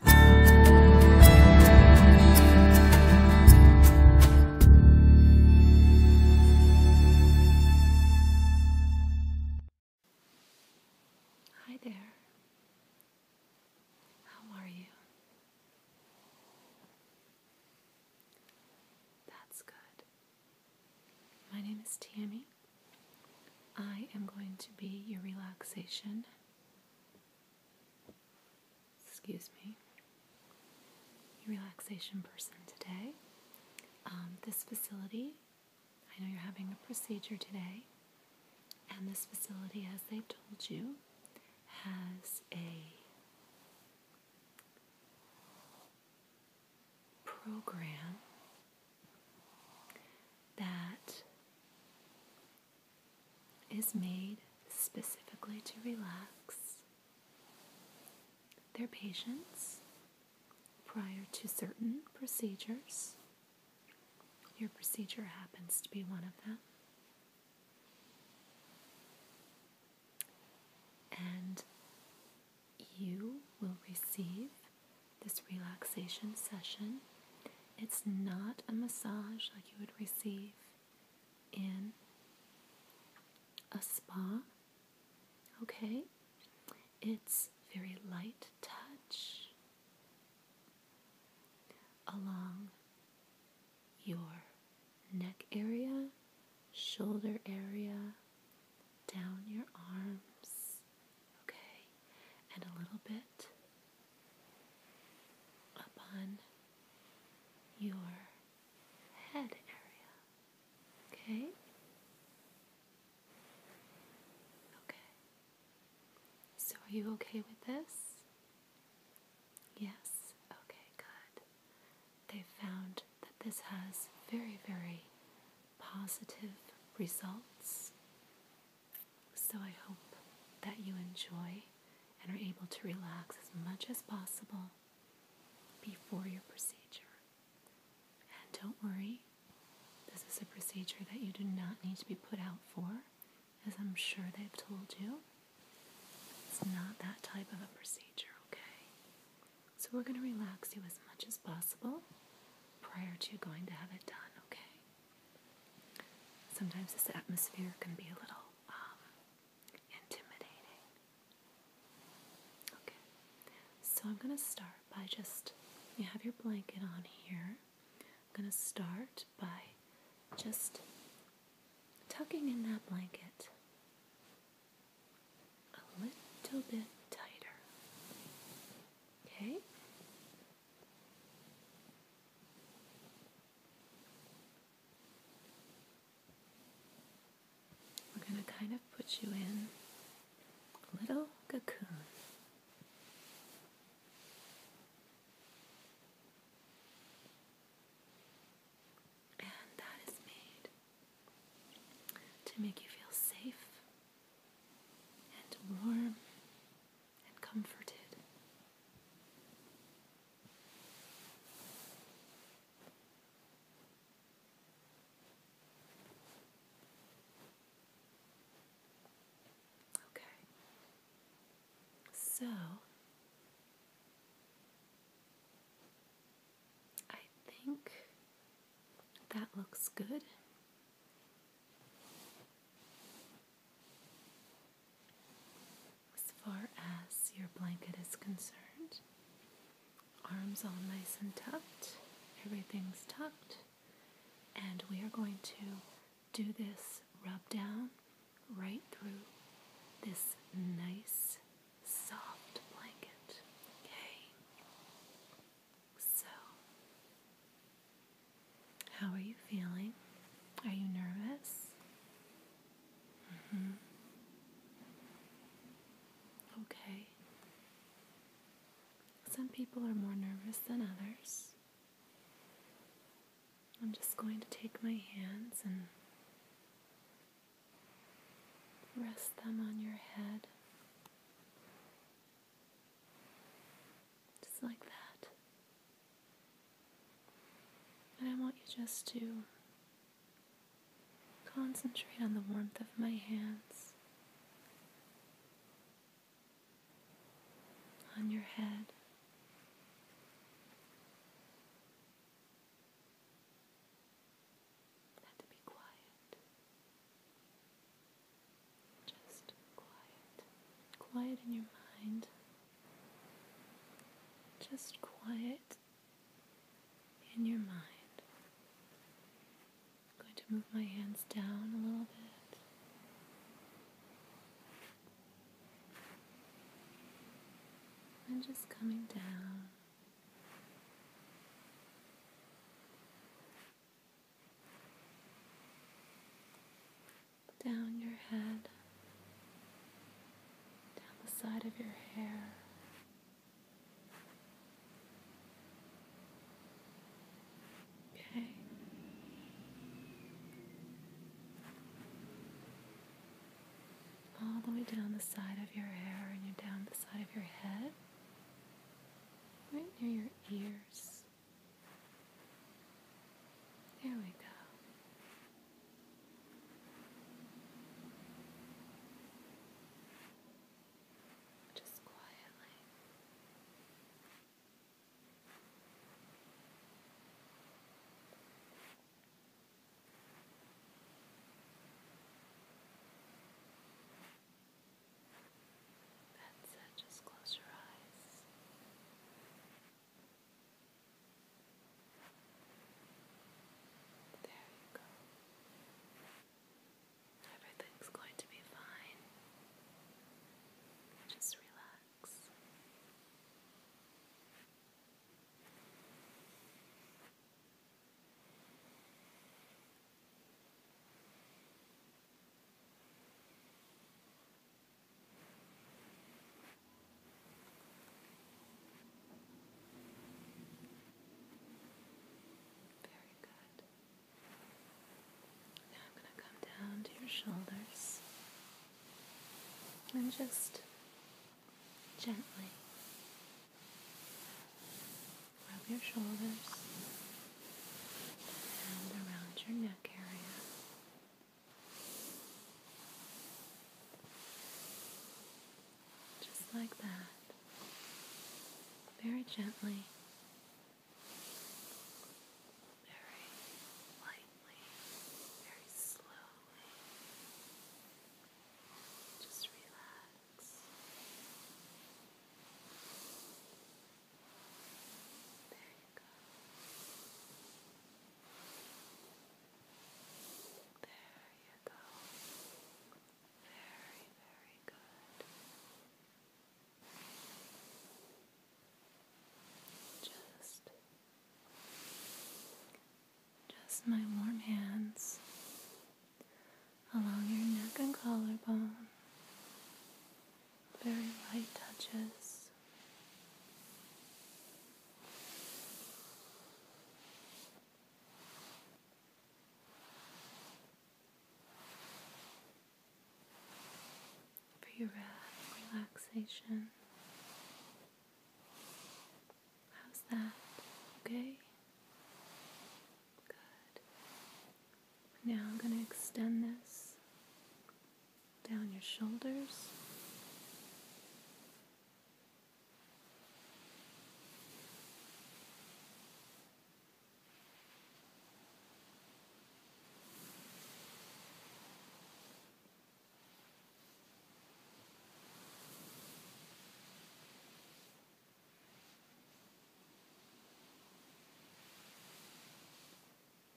Hi there. How are you? That's good. My name is Tammy. I am going to be your relaxation excuse me, your relaxation person today. Um, this facility, I know you're having a procedure today, and this facility, as they told you, has a program that is made specifically to relax their patients prior to certain procedures. Your procedure happens to be one of them. And you will receive this relaxation session. It's not a massage like you would receive in a spa. Okay? It's very light touch along your neck area, shoulder area, down your arms, okay, and a little bit up on your head area, okay? Okay. So, are you okay with this? Yes, okay, good. They found that this has very, very positive results. So I hope that you enjoy and are able to relax as much as possible before your procedure. And don't worry, this is a procedure that you do not need to be put out for, as I'm sure they've told you. It's not that type of a procedure, okay? So we're going to relax you as much as possible prior to going to have it done, okay? Sometimes this atmosphere can be a little um, intimidating. Okay, so I'm going to start by just, you have your blanket on here. I'm going to start by just tucking in that blanket a little bit tighter. Okay? We're going to kind of put you in a little cocoon. And that is made to make you feel safe and warm and comforted. Okay. So, I think that looks good. As far as your blanket is concerned, arms all nice and tucked, everything's tucked, and we are going to do this rub down right through this nice soft blanket. Okay? So, how are you feeling? Are you nervous? Mm-hmm. Okay. Some people are more nervous than others. I'm just going to take my hands and rest them on your head. Just like that. And I want you just to concentrate on the warmth of my hands, on your head. Had to be quiet. Just quiet, quiet in your mind, just quiet in your mind. I'm going to move my hands down a little bit. And just coming down down your head, down the side of your hair. Okay. All the way down the side of your hair and you're down the side of your head, right near your ears. There we go. Just quietly. That's it, just close your eyes. There you go. Everything's going to be fine. Just relax. Now very good. Now I'm going to come down to your shoulders and just gently rub your shoulders and around your neck area. Just like that. Very gently. Very lightly. Very slowly. Just relax. There you go. There you go. Very, very good. Just just my warm hands along your neck and collarbone. Very light touches. For your rest, relaxation. How's that? Okay? Now I'm going to extend this down your shoulders.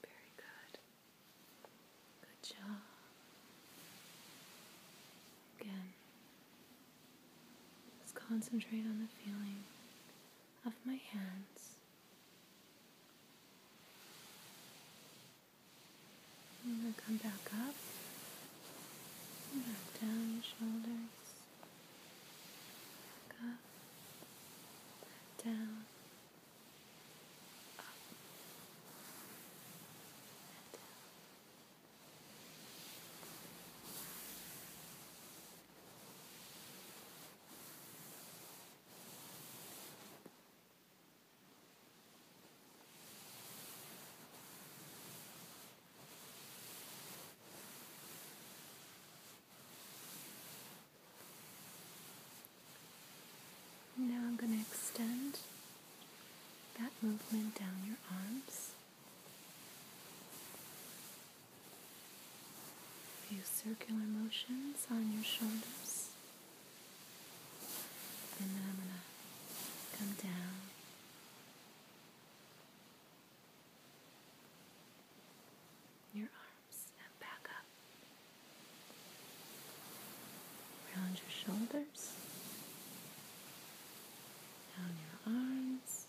Very good. Good job. Again, let's concentrate on the feeling of my hands. I'm going to come back up and back down your shoulders. Back up, down, up, down. Now I'm going to extend that movement down your arms. A few circular motions on your shoulders. And then I'm going to come down your arms and back up. around your shoulders, down your arms,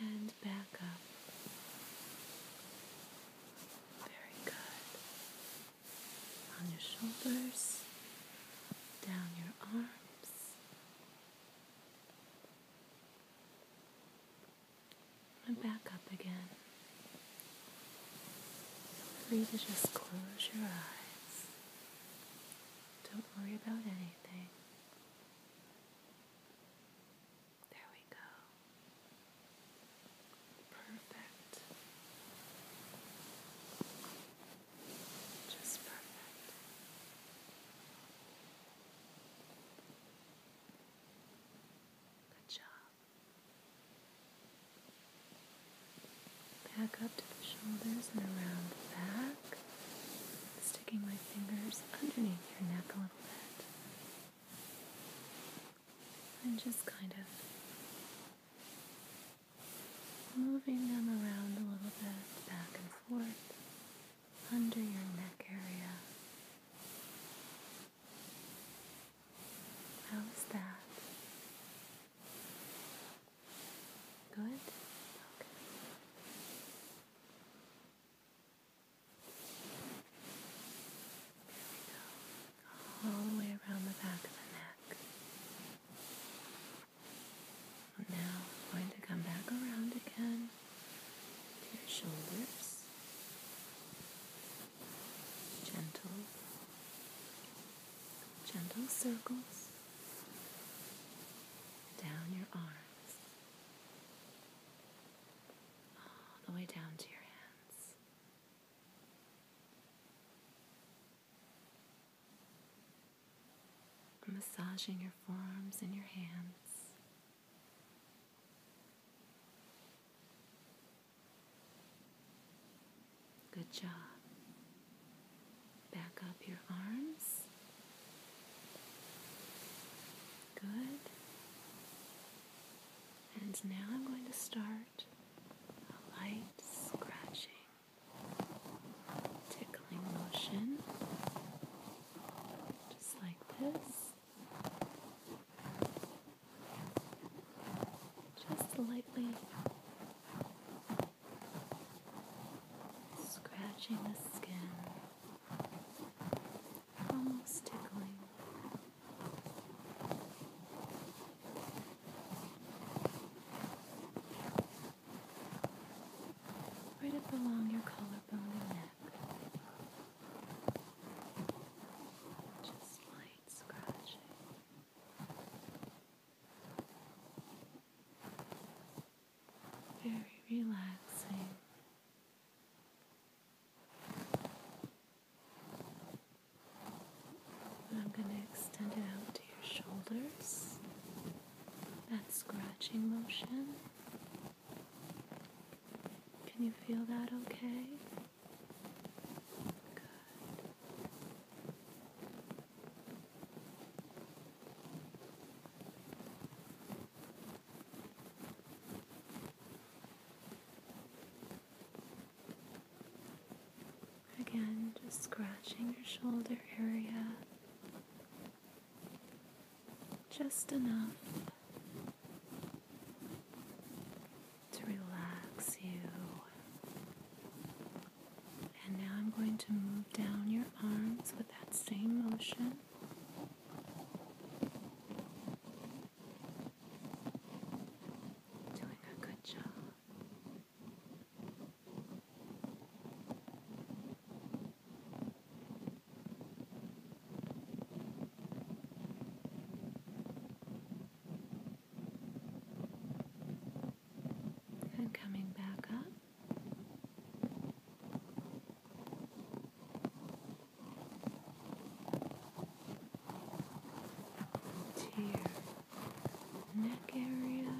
and back up. Very good. On your shoulders, down your arm. And back up again. Feel free to just close your eyes. Don't worry about anything. There we go. Perfect. Just perfect. Good job. Back up to the shoulders and around the back. Sticking my fingers underneath your neck a little bit. And just kind of moving them around a little bit back and forth under your neck area. How was that? Good? go. All the way around the back of the neck now I'm going to come back around again to your shoulders. Gentle, gentle circles down your arms, all the way down to your hands. Massaging your forearms and your hands. Good job. Back up your arms. Good. And now I'm going to start a light scratching tickling motion, just like this. Just lightly scratching the skin, almost tickling right up along your collarbone and neck. Just light scratching. Very relaxing. I'm going to extend it out to your shoulders. That scratching motion. Can you feel that okay? Good. Again, just scratching your shoulder area just enough to relax you. And now I'm going to move down your arms with that same motion. Doing a good job. And coming back up. Tears neck area.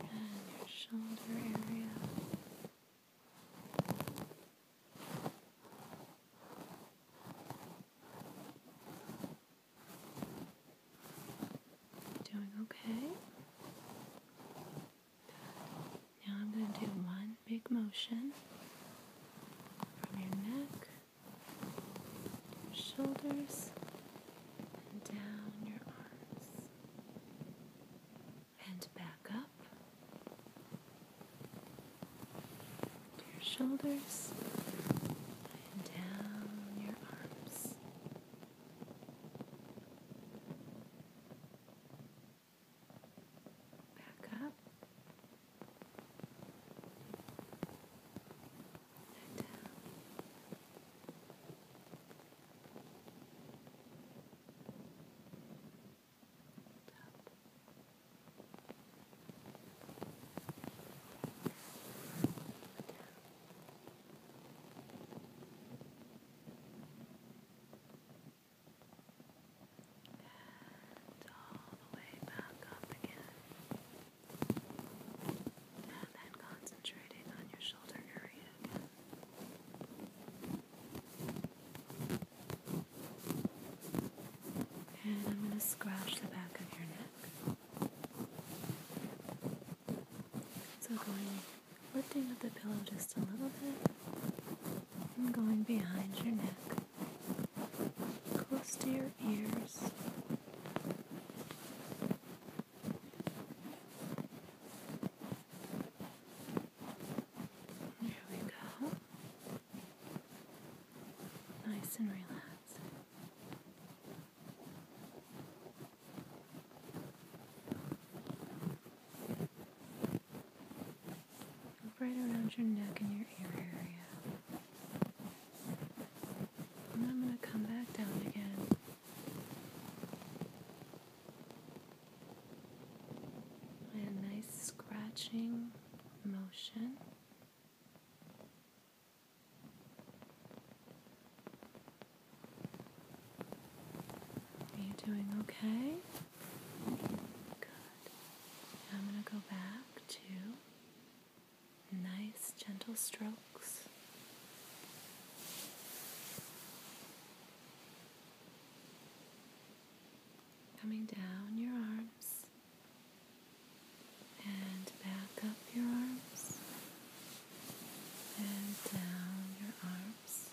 And your shoulder area. Doing okay. Now I'm going to do one big motion from your neck, shoulders, and down your arms, and back up your shoulders. And down your arms. Back up. down. Up and all the way back up again, and then concentrating on your shoulder area again. And I'm going to scratch the back of your neck. So going lifting up the pillow just a little bit and going behind your neck, close to your ears. There we go. Nice and relaxed right around your neck and your ear area. And I'm going to come back down again. And a nice scratching motion. Are you doing okay? Good. I'm going to go back to nice, gentle strokes. Coming down your arms and back up your arms and down your arms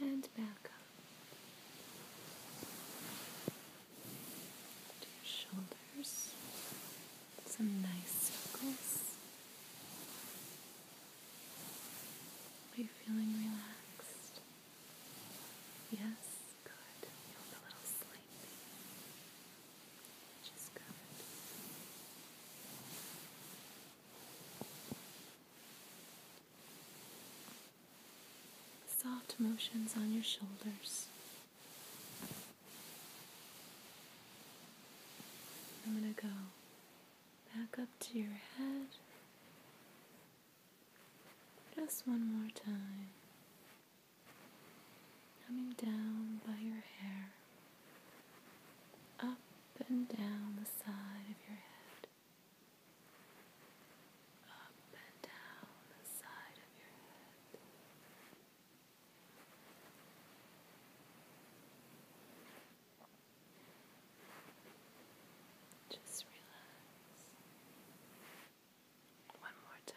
and back up to your shoulders. Some nice circles. Are you feeling relaxed? Yes, good. You look a little sleepy. Soft motions on your shoulders. I'm going to go back up to your head. Just one more time coming down by your hair, up and down the side of your head, up and down the side of your head. Just relax. One more time.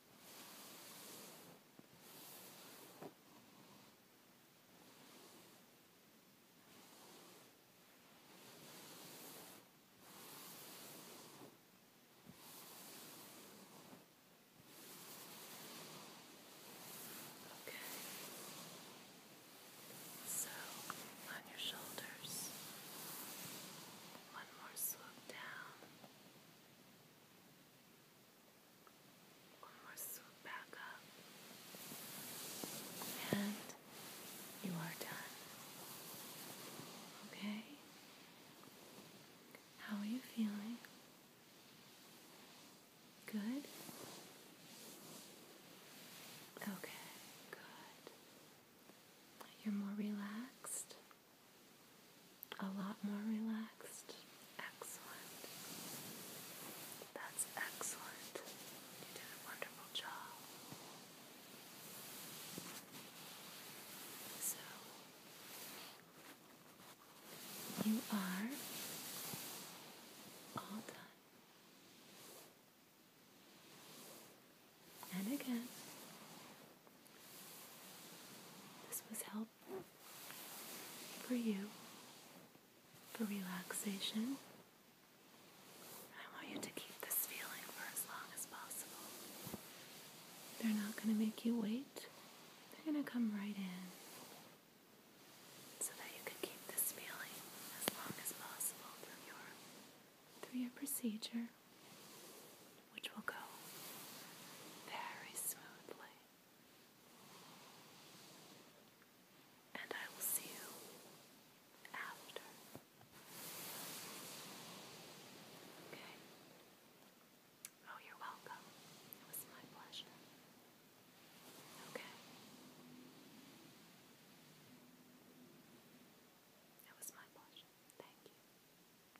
Okay. So on your shoulders, one more swoop down. One more swoop back up. And you are done. Okay? How are you feeling? Good? Okay, good. You're more relaxed. A lot more relaxed. Excellent. That's excellent. You did a wonderful job. So, you are all done. And again, this was helpful for you, for relaxation. I want you to keep this feeling for as long as possible. They're not going to make you wait, they're going to come right in so that you can keep this feeling as long as possible through your, through your procedure which will go very smoothly. And I will see you after. Okay. Oh, you're welcome. It was my pleasure. Okay. It was my pleasure. Thank you.